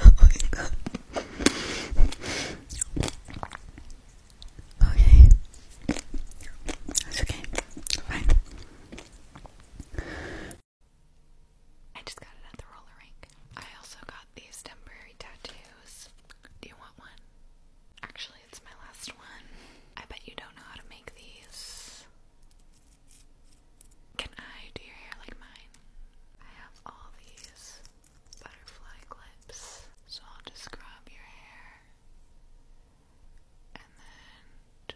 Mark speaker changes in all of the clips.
Speaker 1: oh my god. Okay. That's okay. Fine. I just got it at the roller rink. I also got these temporary tattoos. Do you want one? Actually, it's my last one. I bet you don't know how to make these. Can I do your hair like mine? I have all these butterfly clips, so I'll just grab your hair and then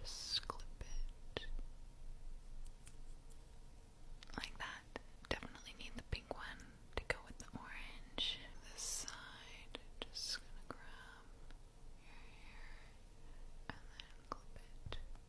Speaker 1: just clip it like that. Definitely need the pink one to go with the orange. This side, just gonna grab your hair and then clip it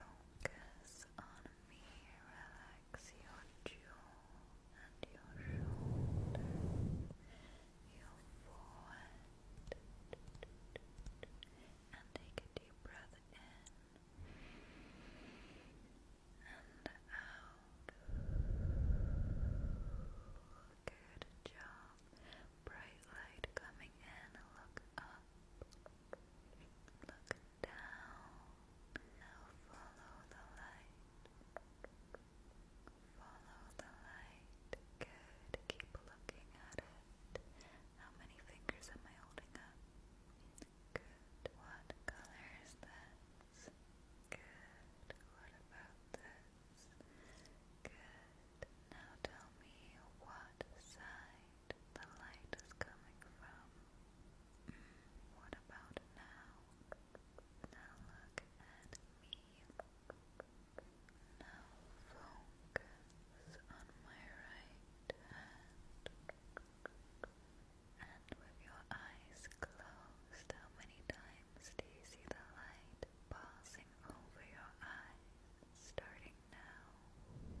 Speaker 1: Focus on me, relax your jaw and your shoulders, your forehead, and take a deep breath in and out. Good job. Bright light coming in, look up. Look down. Now follow the light. Follow the light. Good. Keep looking at it. How many fingers am I holding up? Good. What color is this? Good. What about this? Good. Now tell me what side light the light is coming from. Mm, what about now? Now look at me. Now focus on my right hand. And with your eyes closed, how many times do you see the light passing over your eyes starting now? How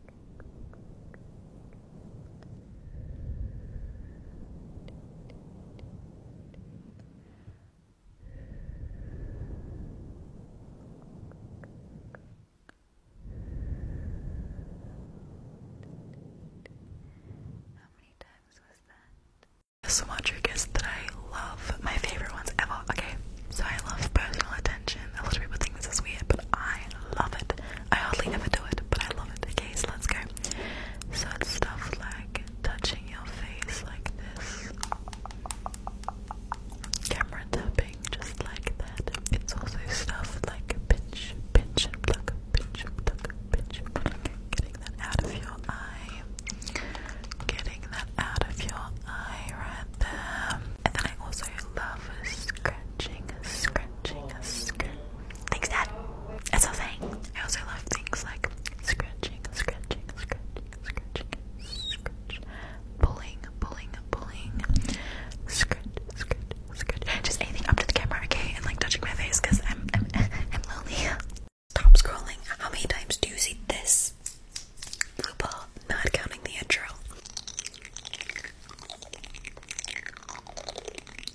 Speaker 1: many times was that? So much triggers that I love, my favorite ones ever. Okay, so I love personal attention. A lot of people think this is weird, but I love it. I hardly ever do it, but I love it. Okay case, let's go. So it's stuff like touching your face like this, camera tapping just like that. It's also stuff like pinch, pinch and pluck, pinch and pluck, pinch and pluck. Getting that out of your eye, getting that out of your eye right there. And then I also love scratching, scratching, scratching. Thanks, Dad. That's all thing. I also love things like scratching, scratching, scratching, scratching, scratch, pulling, pulling, pulling, scratch, scratch, scratch. Just anything up to the camera, okay, and like touching my face I'm, I'm, I'm lonely. Stop scrolling. How many times do you see this? RuPaul, not counting the intro.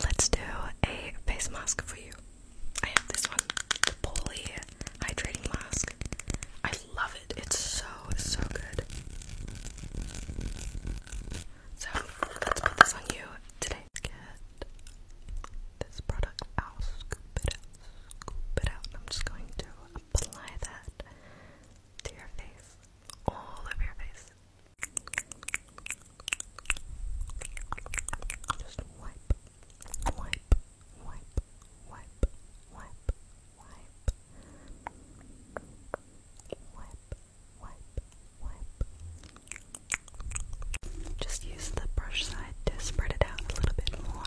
Speaker 1: Let's do a face mask for you. I have this one, the Poly Hydrating Mask. I love it, it's so, so good. So, let's put this on you today. Get this product out, scoop it out scoop it out and I'm just going to apply that to your face, all over your face. Just wipe, wipe, wipe, wipe, wipe, wipe, wipe, wipe, wipe. Just use the brush side decide to spread it out a little bit more.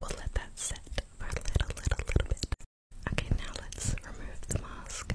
Speaker 1: We'll let that sit for a little, little, little bit. Okay, now let's remove the mask.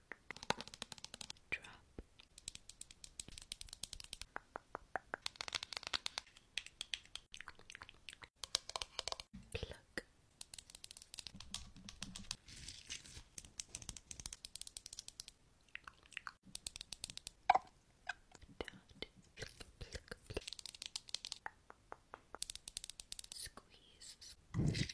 Speaker 1: drop. Pluck. Dot. Squeeze.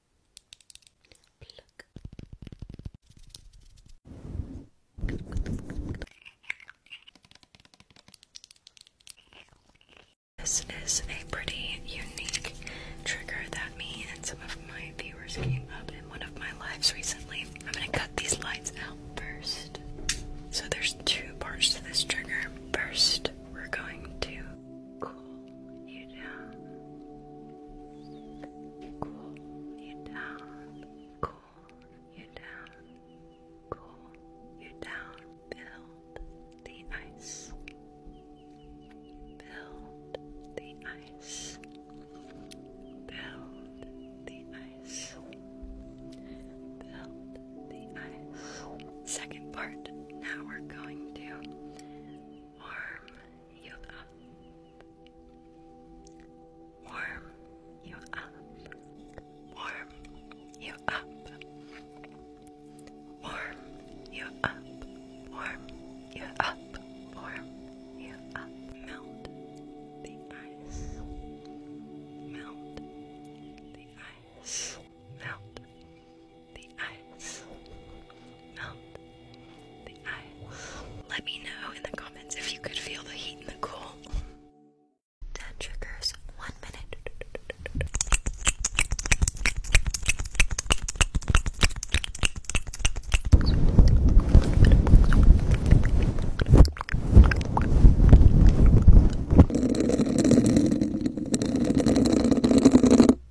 Speaker 1: This is a pretty unique trigger that me and some of my viewers came up in one of my lives recently. I'm gonna cut these lines out first. So there's two parts to this trigger. First, we're going to cool you down, cool you down, cool you down, cool you down, build the ice, build the ice, build the ice, build the ice. Second part, now we're going to warm you up, warm you up, warm you up, warm you up, warm you up, warm you up, melt the ice, melt the ice, melt the ice. Let me know in the comments if you could feel the heat and the cool. 10 triggers, 1 minute.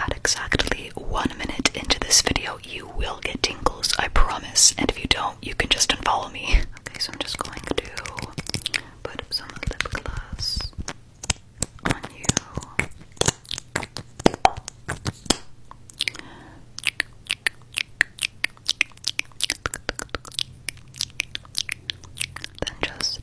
Speaker 1: At exactly one minute into this video, you will get tingles, I promise. And if you don't, you can just unfollow me. Okay, so I'm just going to put some lip gloss on you. Then just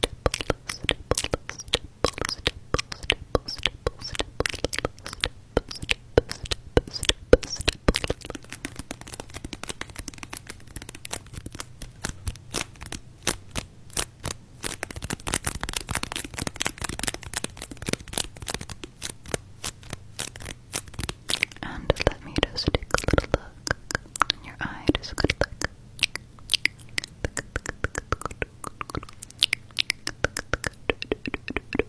Speaker 1: and let me just take a little look in your eye, just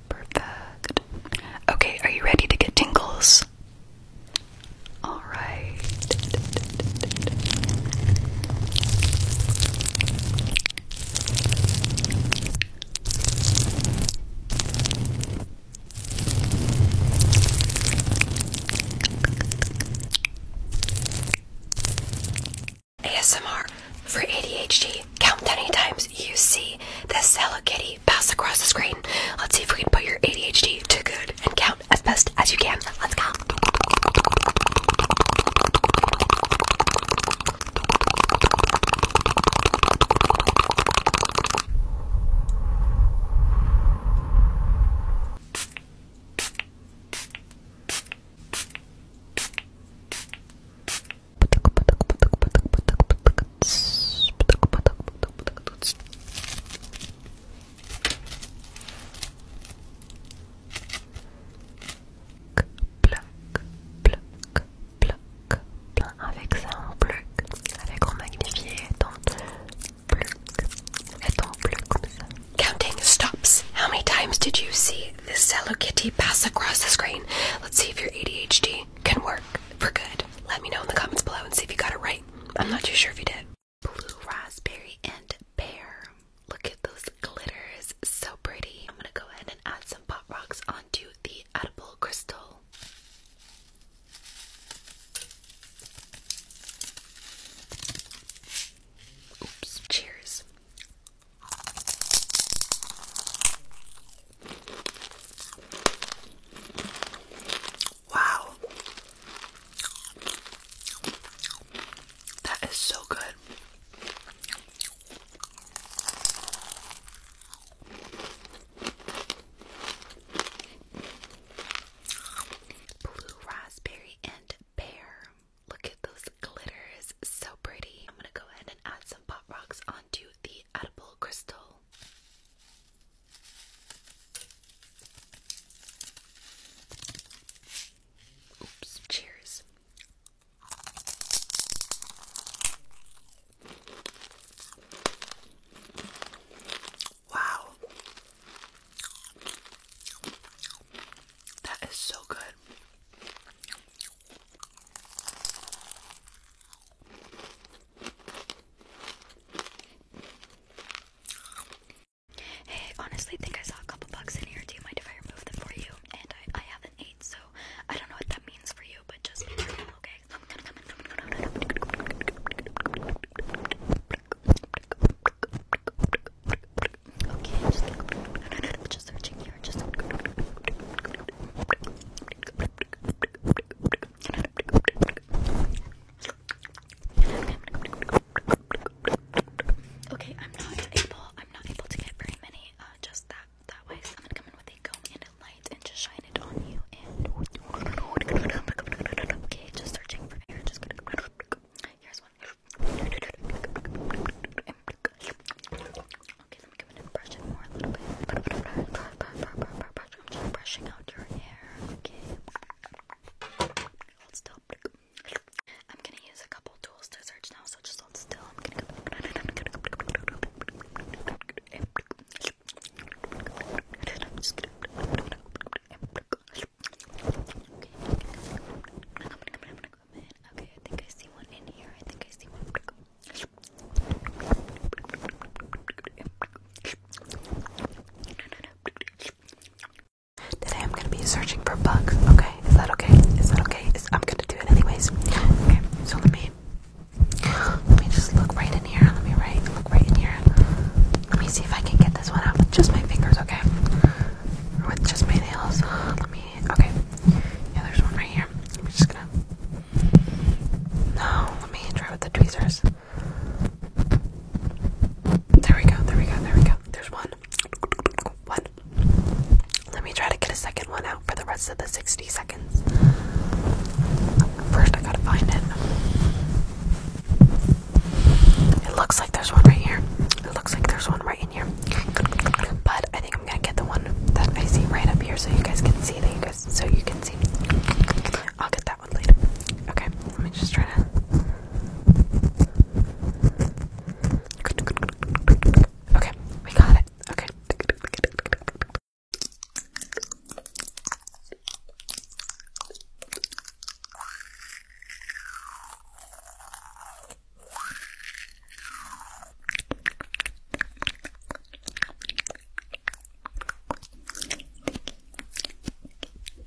Speaker 1: Perfect. Okay, are you ready to get tingles? All right. ASMR for ADHD. Count how many times you see the Hello Kitty pass across the screen. Let's see if we can put your ADHD to good and count as best as you can. Let's go. Pluck, pluck, pluck, pluck. Avec ça, on pluck. Avec on magnifie pluck. Et on pluck comme Counting stops. How many times did you see this Hello Kitty pass across the screen? Let's see if your ADHD can work for good. Let me know in the comments below and see if you got it right. I'm not too sure if you did blue raspberry, and pear. Look at those glitters, so pretty. I'm gonna go ahead and add some pot rocks onto the edible crystal. Oops, cheers. Wow. That is so good. Blue raspberry and pear. Look at those glitters. So pretty. I'm going to go ahead and add some pop rocks onto the edible crystal. Oops, cheers. Wow. That is so good. Hey, honestly, think I saw a couple bugs in here. Do you mind if I remove them for you? And I, haven't ate, so I don't know what that means for you, but just be careful, okay? Okay, just, just searching here. Just. Okay, I'm not able. I'm not able to get very many. Uh, just that that way. So I'm gonna come in with a comb and a light and just shine it on you. And okay, just searching for air. Just here's one. Okay, let me come in and brush it more a little bit. I'm just brushing out your hair. Okay. Hold still. I'm gonna use a couple tools to search now, so just hold still. I'm gonna go. I'm just gonna. Okay. I'm gonna come I'm gonna come Okay, I think I see one in here. I think I see one. Today I'm gonna be searching for bugs. Okay, is that okay? Is that okay? I'm gonna do it anyways. Okay, so let me let me just look right in here. Let me right look right in here. Let me see if I can get this one out with just my fingers. Okay, with just my nails. Let me. Okay, yeah, there's one right here. I'm just gonna. No, let me try with the tweezers. There we go. There we go. There we go. There's one. One. Let me try to get a second one out for the rest of the 60 seconds. First, I gotta find it. It looks like there's one right here. It looks like there's one right in here. But I think I'm gonna get the one that I see right up here so you guys can see so you can see. I'll get that one later. Okay, let me just try to Okay, we got it. Okay.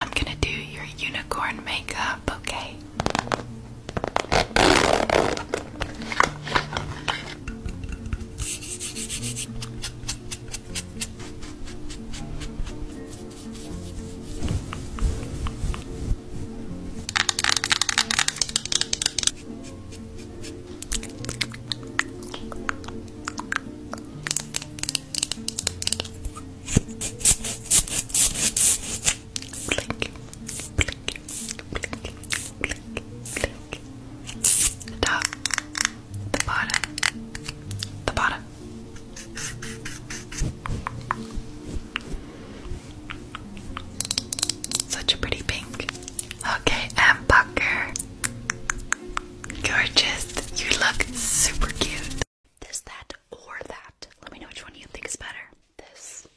Speaker 1: I'm gonna do your unicorn makeup, okay? The top, the bottom, the bottom. Such a pretty pink. Okay, and Bucker. Gorgeous. You look super cute. This, that, or that. Let me know which one you think is better. This.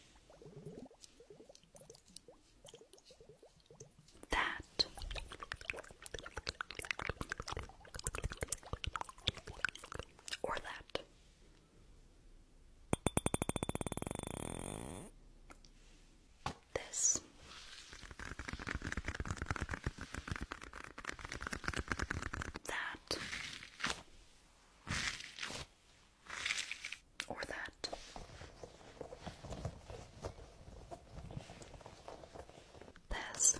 Speaker 1: That. Or that. This. That. Or that. This.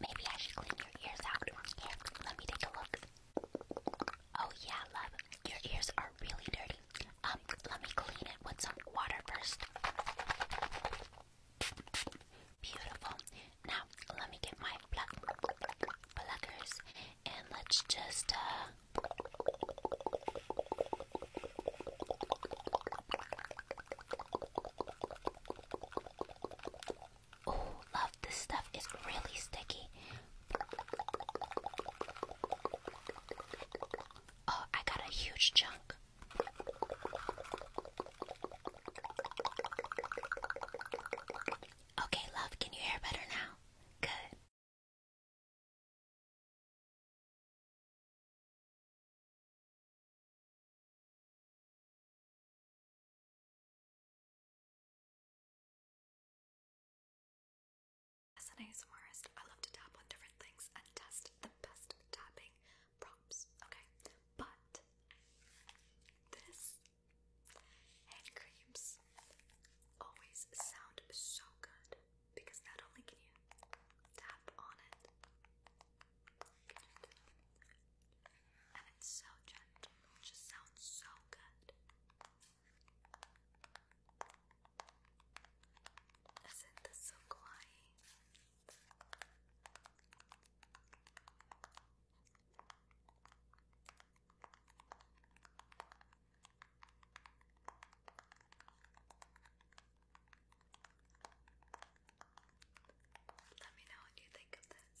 Speaker 1: Maybe I should clean your ears out. let me take a look. Oh yeah, love. Your ears are really dirty. Um, let me clean it with some water first. Beautiful. Now, let me get my plug and let's just uh, Oh, love this stuff is really sticky. Oh, I got a huge chunk. Okay, love, can you hear better now? Good. As an ASMRist, I love to tap on different things and test the best tapping prompts, okay? But this hand creams always sound so good because not only can you tap on it, and it's so gentle, it just sounds so good. Isn't this so kawaii? Let me know what you think of this.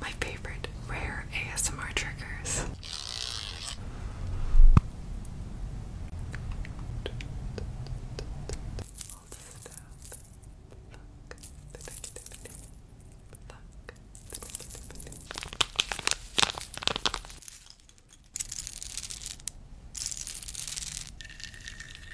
Speaker 1: My favorite rare ASMR triggers.